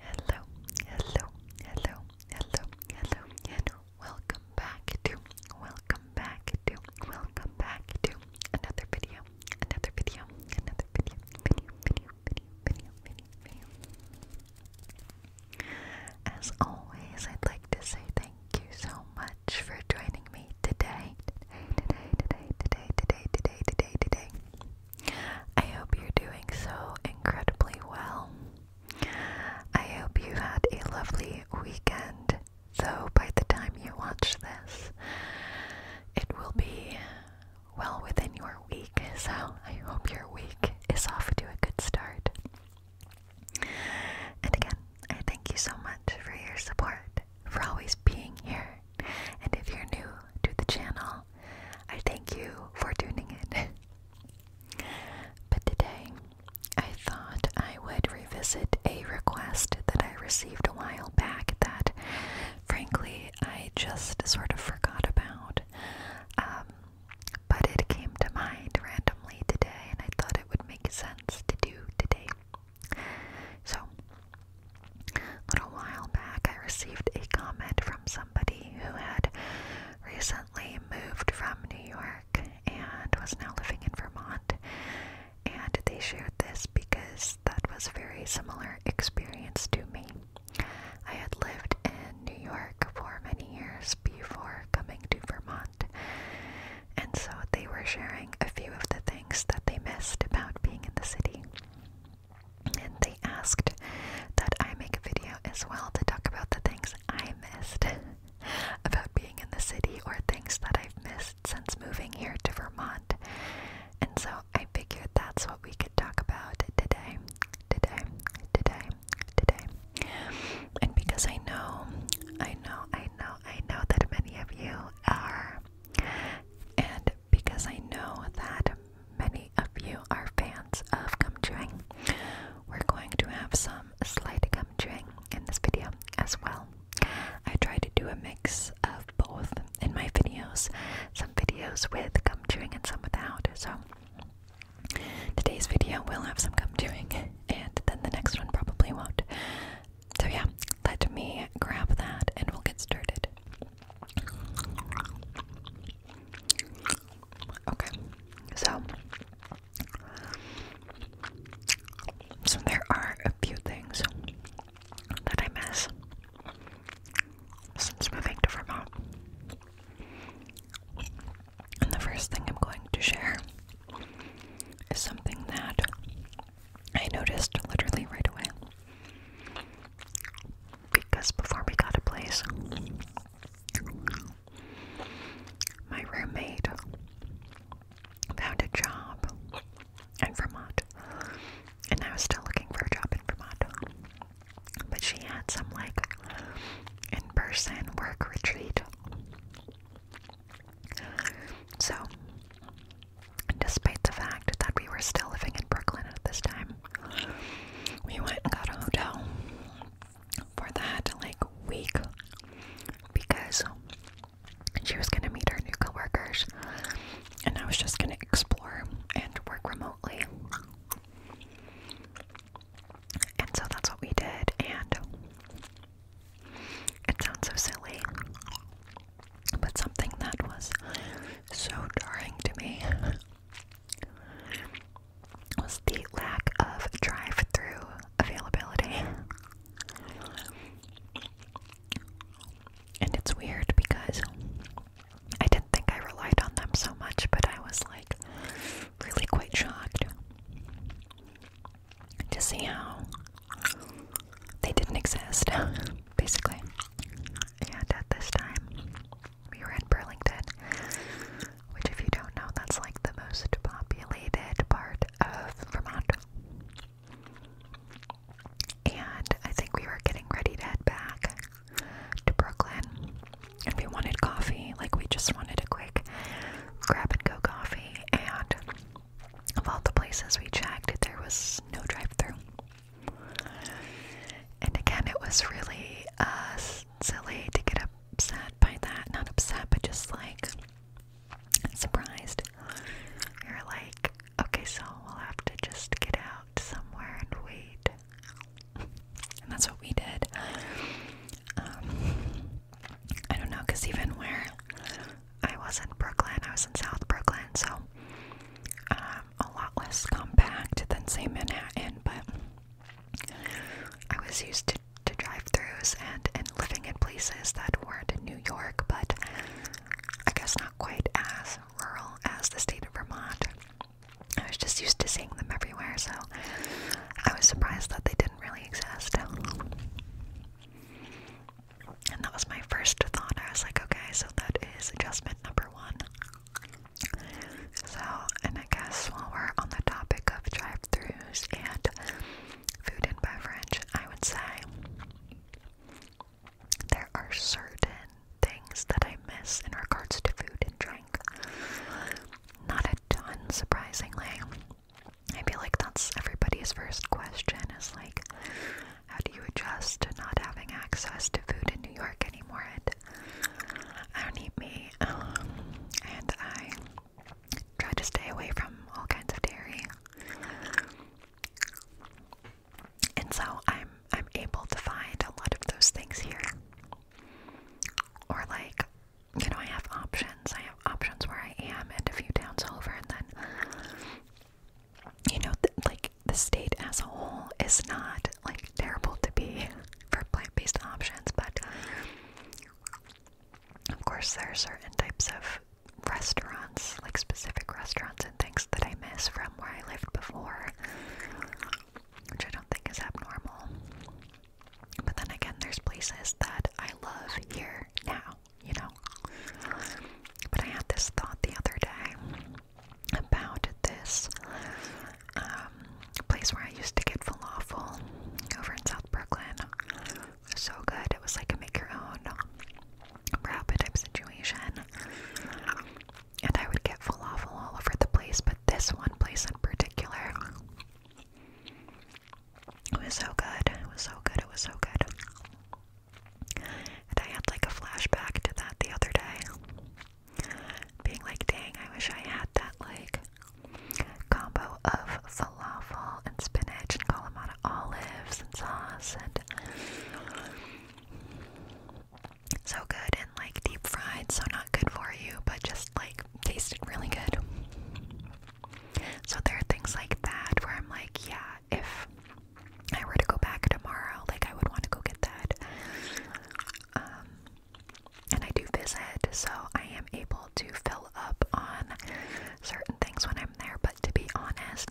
Hello, hello, hello, hello, hello, and welcome back to, welcome back to, welcome back to another video, another video, another video, video, video, video, video, video. As always, I'd like to say thank you so much for joining joining me today. Today, today, today, today, today, today, today, today. I hope you're doing so incredibly well. I hope you had a lovely weekend, though by the time you watch this, it will be well within your week, so I hope your week is off to a good start. And again, I thank you so much for your support for always being here. And if you're new to the channel, I thank you for tuning in. but today, I thought I would revisit a request that I received a while back that, frankly, I just sort of forgot about. Um, but it came to mind randomly today, and I thought it would make sense to do today. So, a little while back, I received a comment from somebody who had recently moved from New York and was now living in Vermont. And they shared this because that was a very similar experience to me. I had lived in New York for many years before coming to Vermont. And so they were sharing a few of the things that they missed about being in the city. And they asked that I make a video as well to talk about the things I missed about being in the city or things that I've missed since moving here to Vermont. And so I figured that's what we could talk about today, today, today, today. And because I know, I know, I know, I know that many of you are and because I know that many of you are fans of gum chewing, we're going to have some slight gum chewing in this video as well. I try to do a mix of both in my videos, some videos with gum chewing and some without. So today's video will have some gum chewing, and then the next one probably won't. So, yeah, let me grab that and we'll get started. Okay, so. So, there are a few things that I miss since moving to Vermont. And the first thing I'm going to share is something that I noticed literally right away. Because before we got a place, my roommate found a job in Vermont. And I was still looking for a job in Vermont. But she had some like in person work retreat so, despite the fact that we were still living in Brooklyn at this time, we went and got a hotel for that like week because she was gonna meet her new coworkers and I was just gonna explore and work remotely. And so that's what we did and it sounds so silly, but something that was so jarring to me was the lack of drive through availability. And it's weird because I didn't think I relied on them so much, but I was like really quite shocked to see how they didn't exist, basically. And at this time, we were in Burlington, which, if you don't know, that's like the most populated part of Vermont. And I think we were getting ready to head back to Brooklyn. And we wanted coffee, like, we just wanted a quick grab and go coffee. And of all the places we checked, there was no drive-through. And again, it was really uh, silly to get upset by that. Not upset, but just like surprised. You're like, okay, so we'll have to just get out somewhere and wait. And that's what we did. Um, I don't know, because even where I was in Brooklyn, I was in South Brooklyn, so um, a lot less compact than, say, Manhattan, but I was used to, to drive throughs and, and living in places that weren't in New York, but I guess not quite as rural as the state of Vermont. I was just used to seeing them everywhere, so I was surprised that they didn't really exist. And that was my first thought. I was like, okay, so that is adjustment number one. So, and I guess while we're on the topic of drive thrus and food and beverage, I would say there are certain things that I miss in regards to food and drink. Not a ton, surprisingly. I feel like that's everybody's first question is like, how do you adjust to not having access to food in New York anymore? And I don't eat meat, um, and I try to stay away from all kinds of dairy. And so I'm I'm able to find a lot of those things here. Or like, you know, I have options. I options where I am and a few towns over, and then you know, th like the state as a whole is not like terrible to be for plant based options, but of course, there are certain types of restaurants, like specific restaurants and things that I miss from where I lived before, which I don't think is abnormal. But then again, there's places that I love here now you know. But I had this thought the other day about this um, place where I used to get falafel over in South Brooklyn. So good. It was like a make your own wrap type situation. And I would get falafel all over the place, but this one place in particular it was so good. It was so good. It was so good. I had like a flashback to that the other day. Being like, dang, I wish I had that like combo of falafel and spinach and Kalamata olives and sauce and so good and like deep fried, so not good for you, but just like tasted really good. So there are things like that where I'm like, yeah, if I were to go back tomorrow, like I would want to go get that. Um, and I do visit, so I am able to fill up on certain things when I'm there. But to be honest,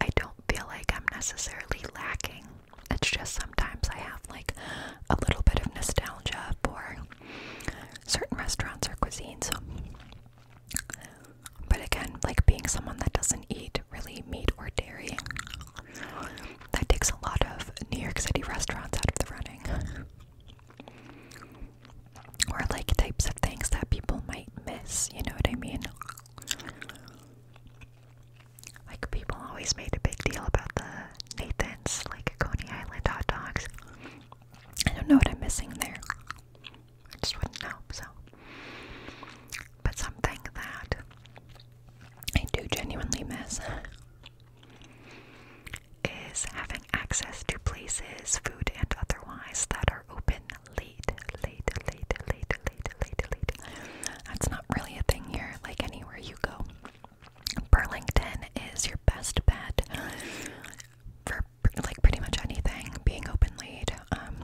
I don't feel like I'm necessarily lacking. It's just sometimes I have like a little bit of nostalgia for certain restaurants or cuisines. But again, like being someone that doesn't eat really meat or dairy, that takes a lot of New York City restaurants out of the running. Or like types of things that people might miss, you know what I mean? Like people always made a big deal about the Nathan's, like Coney Island hot dogs. I don't know what I'm missing there. I just wouldn't know, so. But something that I do genuinely miss is having access to places, food and otherwise, that are open late, late, late, late, late, late, late. That's not really a thing here, like anywhere you go. Burlington is your best bet for like pretty much anything, being open laid. Um,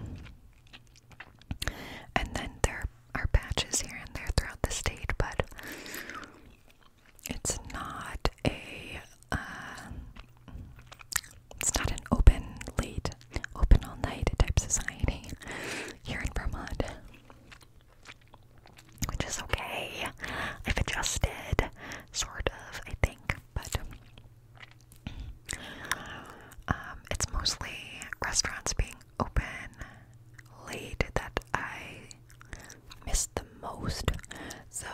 and then there are patches here and there throughout the state, but it's not a uh, it's not an open late, open all night type society here in Vermont which is okay. I've adjusted, sort of, I think, but um, it's mostly restaurants being open late that I miss the most. So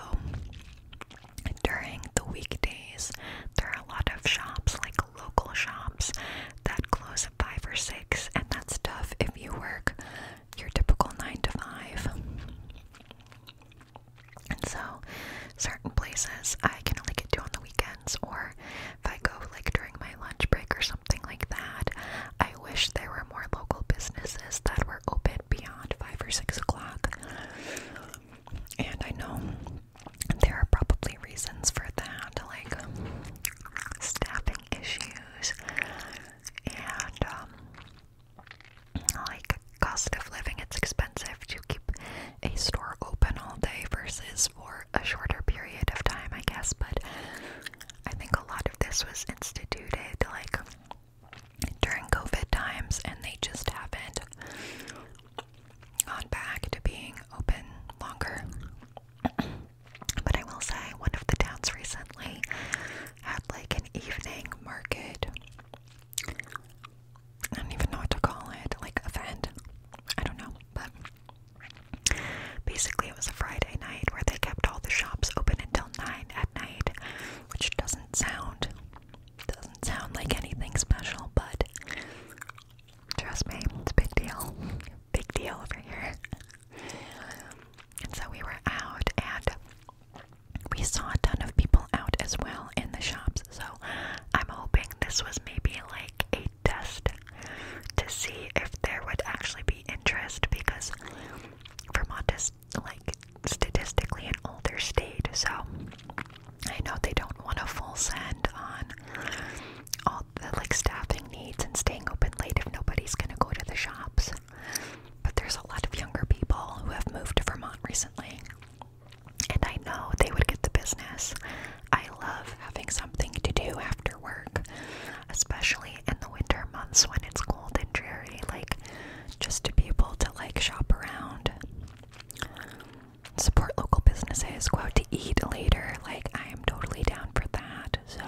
during the weekdays, there are a lot of shops, like local shops, that close at 5 or 6, and that's tough if you work your typical 9 to 5. And so, certain places I can only get to on the weekends, or if I go like during my lunch break or something like that. I wish there were more local businesses that were open beyond 5 or 6 o'clock. And I know there are probably reasons for that, like staffing issues and um, like cost of living, it's expensive to keep a store open all day versus for a shorter period of time, I guess. But I think a lot of this was instituted like during COVID times, and they just haven't gone back to being open longer. but I will say, one of the towns recently had like an evening market. I don't to call it, like event. I don't know, but basically it was a Friday night where they kept all the shops open until nine at night, which doesn't sound doesn't sound like anything special, but trust me, it's a big deal. Big deal over here. And so we were out and we saw a ton of people out as well in the shops, so I'm hoping this was maybe like a test to see if there would actually be interest because Vermont is like statistically an older state, so I know they don't want a full send on all the like staffing needs and staying open late if nobody's gonna go to the shops. But there's a lot of younger people who have moved to Vermont recently, and I know they would get the business. I love having something to do after work, especially in the winter months when it's cold and dreary, like just to be able to like shop around. Support local businesses, go out to eat later. Like, I am totally down for that. So,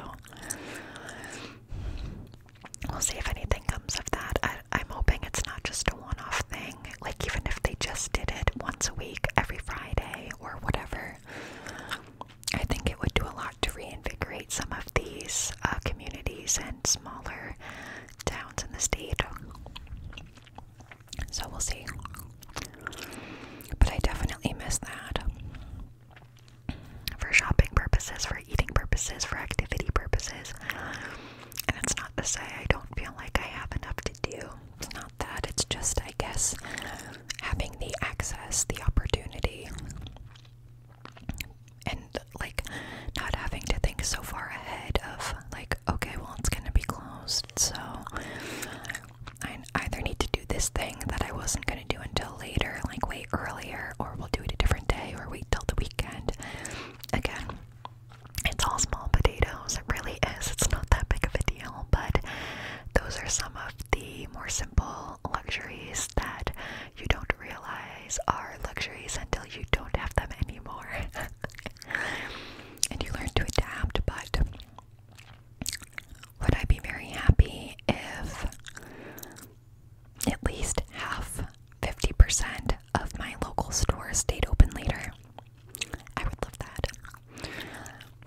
We'll see if anything comes of that. I, am hoping it's not just a one off thing. Like, even if they just did it once a week, every Friday, or whatever, I think it would do a lot to reinvigorate some of these uh, communities and smaller towns in the state. So, we'll see. But I definitely miss that for shopping purposes, for eating purposes, for activity purposes. And it's not to say I don't feel like I have enough to do. It's not that. It's just, I guess, having the access, the opportunity, and like not having to think so far ahead of, like, okay, well, it's going to be closed, so I either need to do this thing that I wasn't gonna to do until later, like way earlier, or we'll do it a different day, or wait till the weekend. Again, it's all small potatoes, it really is. It's not that big of a deal, but those are some of the more simple luxuries that you don't realize are luxuries until you don't have them anymore. and you learn to adapt, but would I be very happy if at least half, 50% of my local stores stayed open later. I would love that.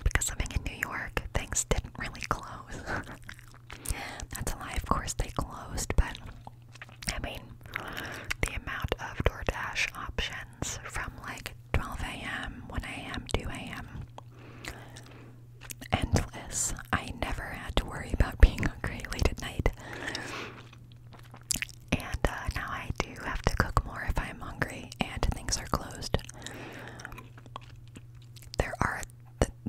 Because i living in New York, things didn't really close. That's a lie, of course they closed, but I mean, the amount of DoorDash options from like 12 a.m., 1 a.m., 2 a.m endless. I never had to worry about being hungry late at night. And uh, now I do have to cook more if I'm hungry and things are closed. There are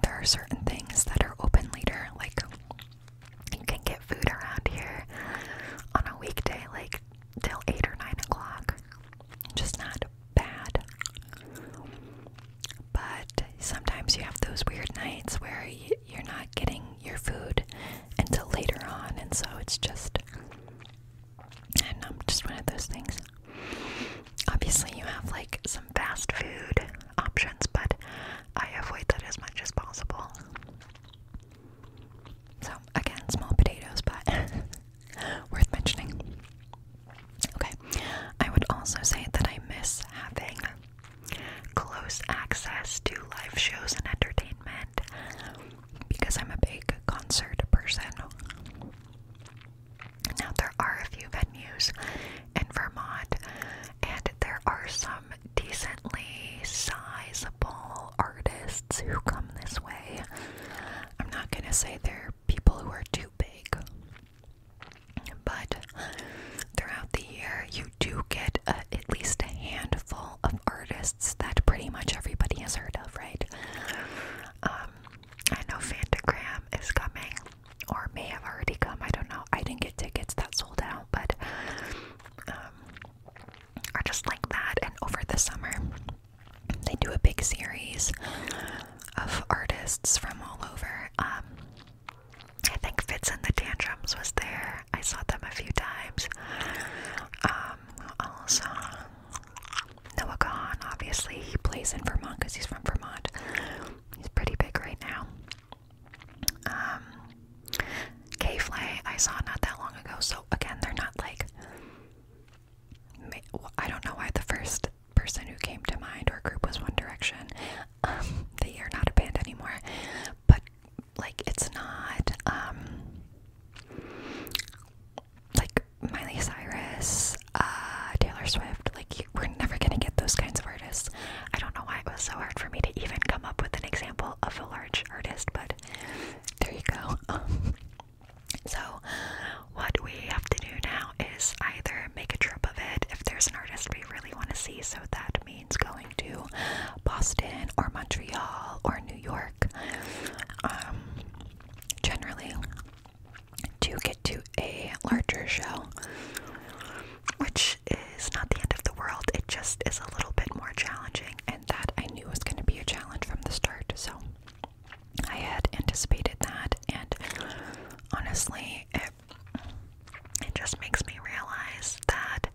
there are certain things that are open later, like you can get food around here on a weekday, like till eight or nine o'clock. Just not bad. But sometimes you have those weird nights where you're not getting your food until later on, and so it's just, and um, just one of those things. Obviously, you have like some fast food options, but I avoid that as much as possible. So, again, small potatoes, but worth mentioning. Okay, I would also say that I miss having close access to live shows and entertainment because I'm a big concert person. Now, there are a few venues in Vermont, and there are some decently sizable artists who come this way. I'm not gonna say they're people who are too big but throughout the year, you do get uh, at least a handful of artists that pretty much everybody has heard of, right? Um, I know Fantagram is coming, or may have already come. I don't know. I didn't get tickets that sold out, but um, are just like that. And over the summer, they do a big series of artists from all over. Um, I think Fitz and the Tantrums was there. I saw them a few times. Um, also, Noah Kahn, obviously, he plays in Vermont because he's from Vermont. He's pretty big right now. Um, K-Flay, I saw not that long ago. So, again, they're not like... I don't know why the first person who came to mind or group was One Direction. Um, they are not a band anymore, but like it's not um, like Miley Cyrus, uh, Taylor Swift. Like we're never gonna get those kinds of artists. I don't know why it was so hard for me to even come up with an example of a large artist, but there you go. so what we have to do now is either make a trip of it if there's an artist we really want to see, so that means going to Boston or Montreal or New York. Um, generally, to get to a larger show, which is not the end of the world, it just is a little bit more challenging, and that I knew was going to be a challenge from the start, so I had anticipated that, and honestly, it just makes me realize that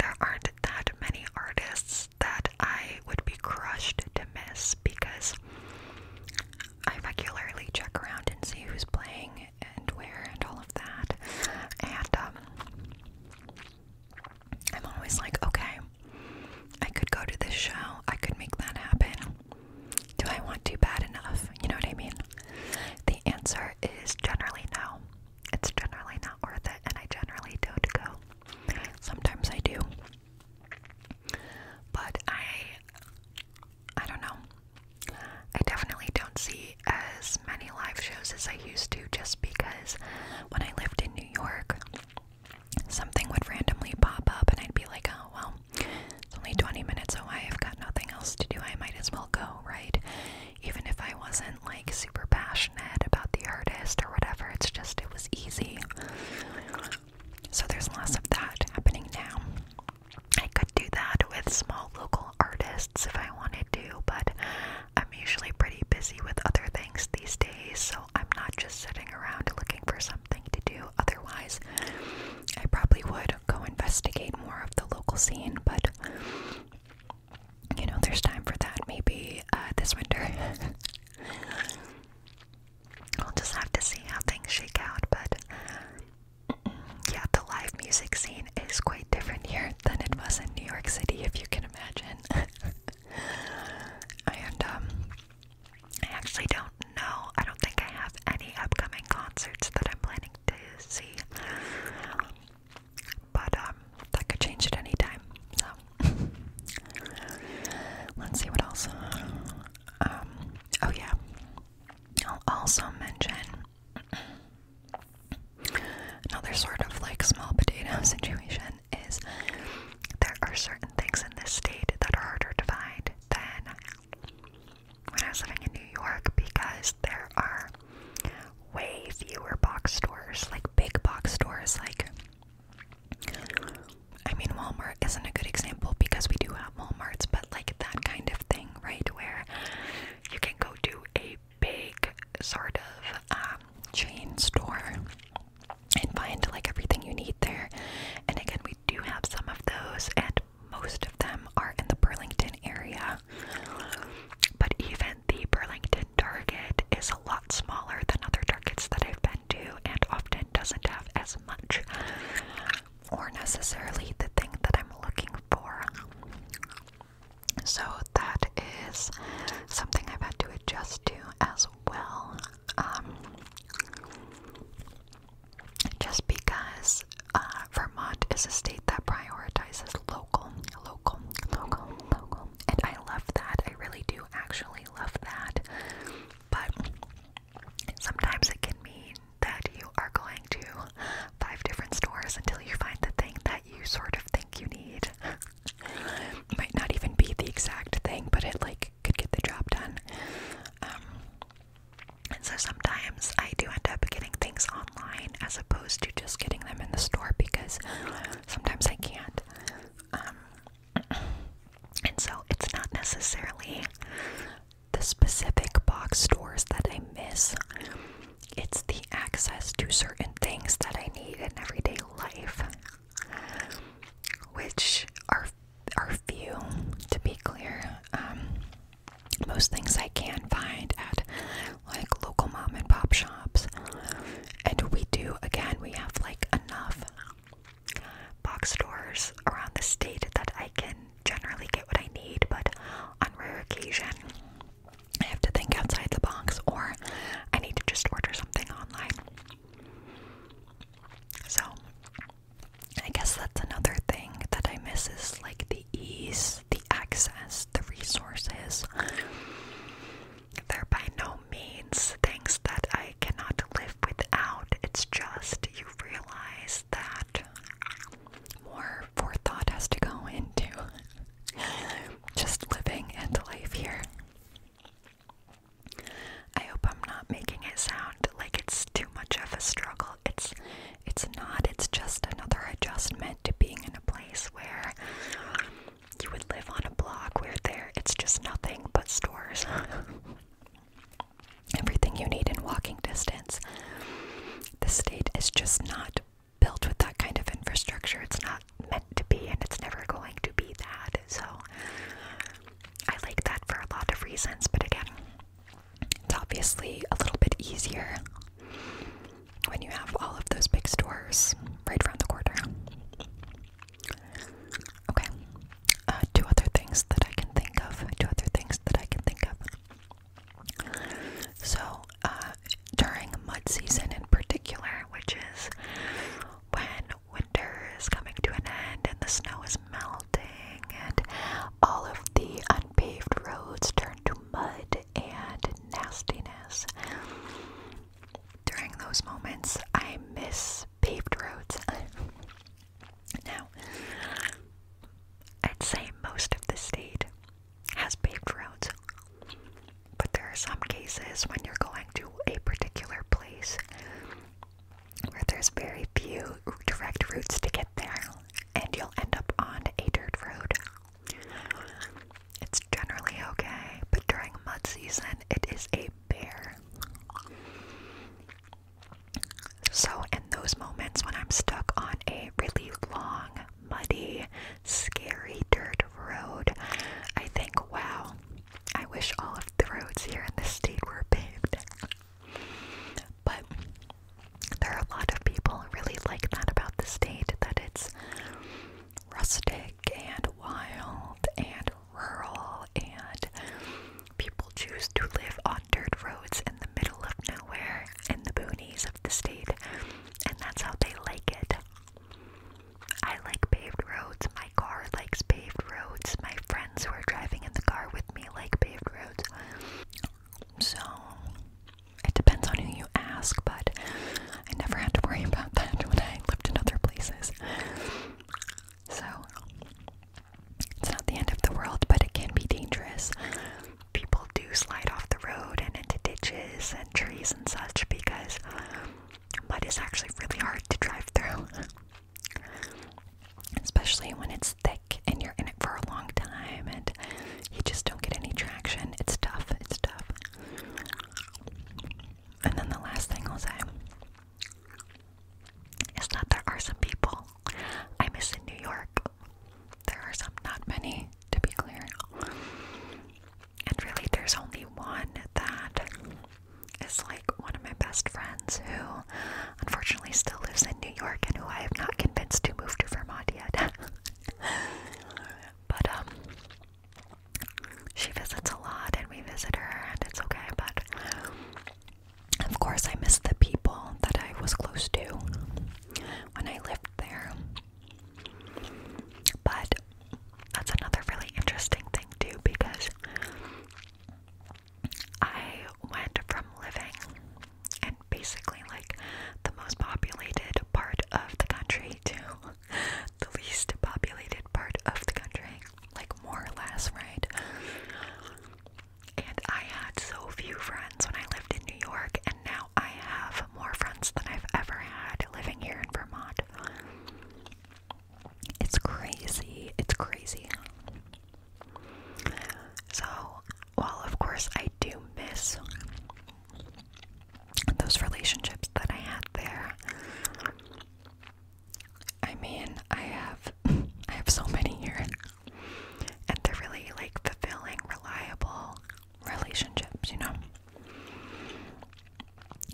there aren't that many artists that I would be crushed to miss because I regularly check around and see who's playing and where and all of that. And um, I'm always like, okay, I could go to this show, I could make that happen. Do I want to bad enough? You know what I mean? The answer is generally no. It's generally not worth it, and I generally don't go. Sometimes I do. But I I don't know. I definitely don't see as many live shows as I used to just because when I lived in New York, something would randomly pop up and I'd be like, oh, well, it's only 20 minutes so I've got nothing else to do. I might as well go, right? Even if I wasn't like super passionate about the artist or whatever, it's just it was easy. So there's lots of that happening now. I could do that with small local artists if I wanted to, but I'm usually pretty busy with other things these days, so I'm not just sitting around looking for something something to do. Otherwise, I probably would go investigate more of the local scene, but you know, there's time for that maybe uh, this winter. I'll just have to see how things shake out, but yeah, the live music scene is quite different here than it was in New York City, if you can imagine. and um, I actually don't know. I don't think I have any upcoming concerts that I'm planning to see. But um, that could change at any time. So let's see what else. Um, oh yeah. I'll also mention another sort of like small potato situation is there are certain things in this state that are harder to find than when I was living in New York because there are way fewer box stores, like big box stores. Like, I mean, Walmart isn't a good example because we do have Walmarts, but like that kind of thing, right? Where you can go to a big sort of um, chain store and find like everything you need there. And again, we we do have some of those, and most of them are in the Burlington area. But even the Burlington Target is a lot smaller than other targets that I've been to, and often doesn't have as much or necessarily the thing that I'm looking for. So that is something I've had to adjust to as well. Um, just because uh, Vermont is a state that prioritizes local, local, local, local. And I love that. I really do actually love that. But sometimes it can mean that you are going to five different stores until you find the thing that you sort of think you need. Might not even be the exact thing, but it like could get the job done. Um, and so sometimes I do end up getting things online as opposed to just getting them in the store because sometimes I can't. Um, and so it's not necessarily the specific box stores that I miss, it's the access to certain things that I need in everyday life, which are are few, to be clear. Um, most things I can find at like local mom and pop shops, and we do again. We have like enough box stores around the state that I can generally get what I need, but on rare occasion, I have to think outside the box, or I need to just order something online. So, I guess that's another thing that I miss is like the ease, the access, the resources. They're by no means things that I cannot live without. It's just you realize that more forethought has to go into just living and life here. I hope I'm not making it sound like it's too much of a struggle. It's it's not. It's just another adjustment to being in a place where you would live on a block where there it's just nothing but stores. Everything you need in walking distance. The state is just not built with that kind of infrastructure. It's not meant to be and it's never going to be that. So I like that for a lot of reasons, but again, it's obviously a little bit easier when you have all of those big stores right around the corner. Okay, uh, two other things that I can think of. Two other things that I can think of. So, uh, during mud season in particular, which is when winter is coming to an end and the snow is melting and all of the unpaved roads turn to mud and nastiness. During those moments, I miss paved roads. now, I'd say most of the state has paved roads, but there are some cases when you're going to a particular place where there's very few direct routes to get there, and you'll end up on a dirt road. It's generally okay, but during mud season, it is a bear. So, in those moments when I'm stuck on a really long, muddy, scary dirt road, I think, wow, I wish all of." the roads here in the state were paved. But there are a lot of people really like that about the state, that it's rustic and wild and rural, and people choose to live on dirt roads in the middle of nowhere in the boonies of the state, and that's how they like it. I like paved roads my car likes paved roads. My friends who are driving in the car with me like paved roads. So it depends on who you ask, but I never had to worry about that when I lived in other places. So it's not the end of the world, but it can be dangerous. People do slide off the road and into ditches and trees and such because mud is actually really hard to drive through especially when it's thick and you're in it for a long time and you just don't get any traction. It's tough, it's tough. And then the last thing I'll say is that there are some people I miss in New York. There are some, not many, to be clear. And really, there's only one that is like one of my best friends who unfortunately still lives in New York and who I have not convinced to move to Vermont yet. but um she visits a lot and we visit her and it's okay, but of course I miss the people that I was close to when I lived there. But that's another really interesting thing too because I went from living in basically like the most populated part of the country to the least populated part of the country, like more or less, right? And I had so few friends when I lived in New York, and now I have more friends than I've ever had living here in Vermont. It's crazy. It's crazy. So, while of course I do miss those relationships that I had there, I mean, I have I have so many here, and they're really like fulfilling, reliable relationships, you know.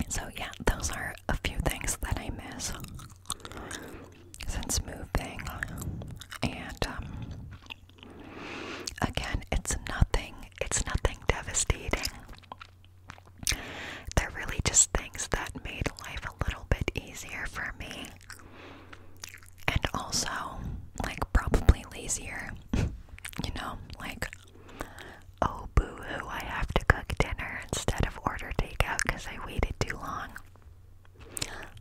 So yeah, those are a few things that I miss since moving. And um, again, it's nothing, it's nothing devastating. They're really just things that made life a little bit easier for me. And also, like, probably lazier. you know, like, oh, boo hoo, I have to cook dinner instead of order takeout because I waited too long.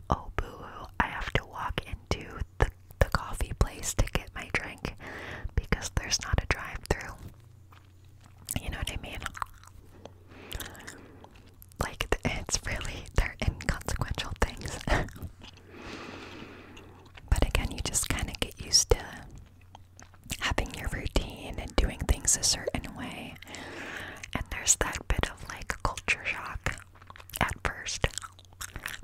Oh boo hoo, I have to walk into the, the coffee place to get my drink because there's not a drive through. You know what I mean? Like, it's really, they're inconsequential things. but again, you just kind of get used to having your routine and doing things a certain way. And there's that bit of like culture shock at first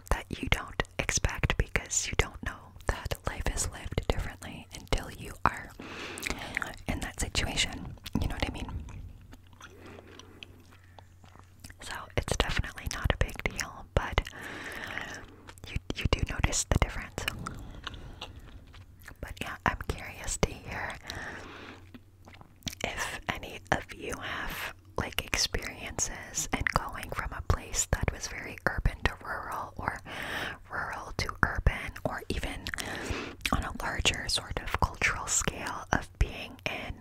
that you don't expect because you don't know that life is lived differently until you are in that situation. You know what I mean? So it's definitely not a big deal, but you you do notice the difference. But yeah, I'm curious to hear if any of you have like experiences and going from a place that was very urban to rural or rural to urban or even on a larger sort of cultural scale of being in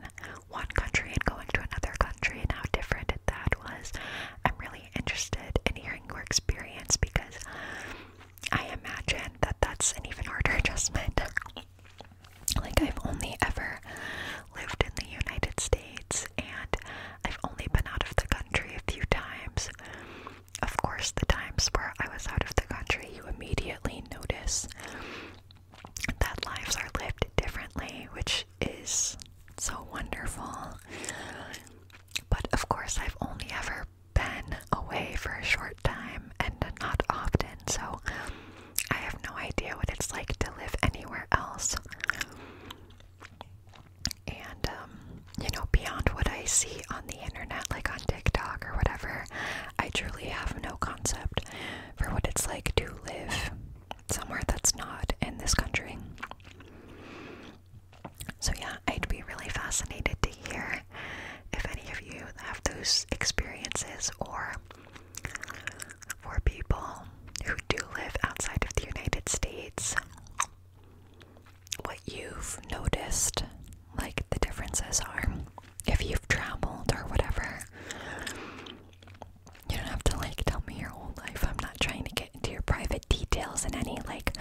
one country and going to another country and how different that was. I'm really interested in hearing your experience because I imagine that that's an even harder adjustment. like, I've only ever lived in the United States and I've only been out of the country a few times. Of course, the times where I was out of the country, you immediately notice that lives are lived differently, which is so wonderful. But of course, I've only ever been away for a short time and not often, so I have no idea what it's like to live anywhere else. And, um, you know, beyond what I see on the internet, like on TikTok or whatever, I truly have no concept for what it's like to live somewhere that's not in this country. So, yeah, I'd be really fascinated to hear if any of you have those experiences, or for people who do live outside of the United States, what you've noticed, like the differences are. If you've traveled or whatever, you don't have to like tell me your whole life. I'm not trying to get into your private details in any like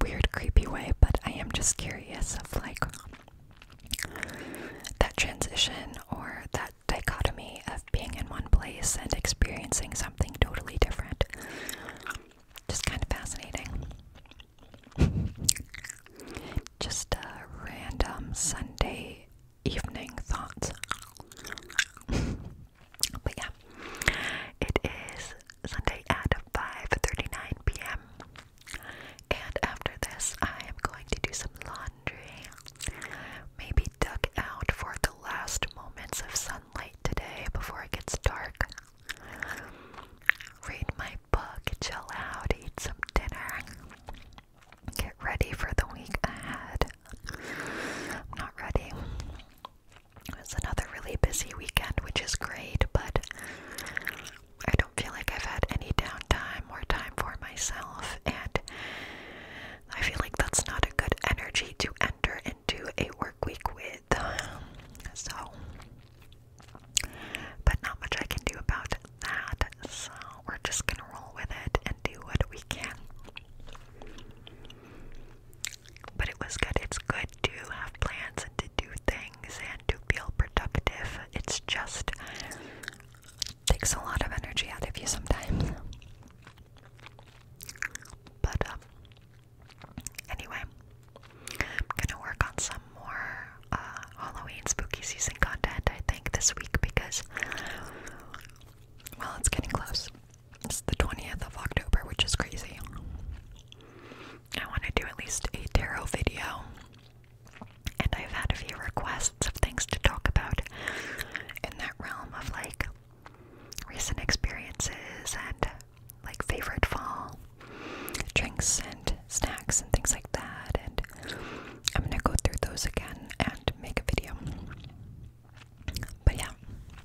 weird, creepy way, but I am just curious of like that transition or that dichotomy of being in one place and experiencing something totally different. Just kind of fascinating. Just a random Sunday evening thoughts. but yeah, it is Sunday at 5:39 p.m. And after this, I am going to do some laundry. Maybe duck out for the last moments of sunlight today before it gets dark. Read my book, chill out, eat some dinner. Get ready for the week ahead. I'm not ready. It was another really busy weekend, which is great, but I don't feel like I've had any downtime or time for myself, and I feel like that's not a good energy to enter into a work week with. So, but not much I can do about that, so we're just gonna roll with it and do what we can. But it was good. It's good to have plans and to do things and to feel productive. It's just takes a lot of energy out of you sometimes. But um, anyway, I'm gonna work on some more uh, Halloween spooky season content I think this week because well it's getting close. It's the 20th of October, which is crazy. I want to do at least a tarot video, and I've had a few requests of things to talk about in that realm of like recent experiences and like favorite fall drinks and snacks and things like that. And I'm gonna go through those again and make a video. But yeah,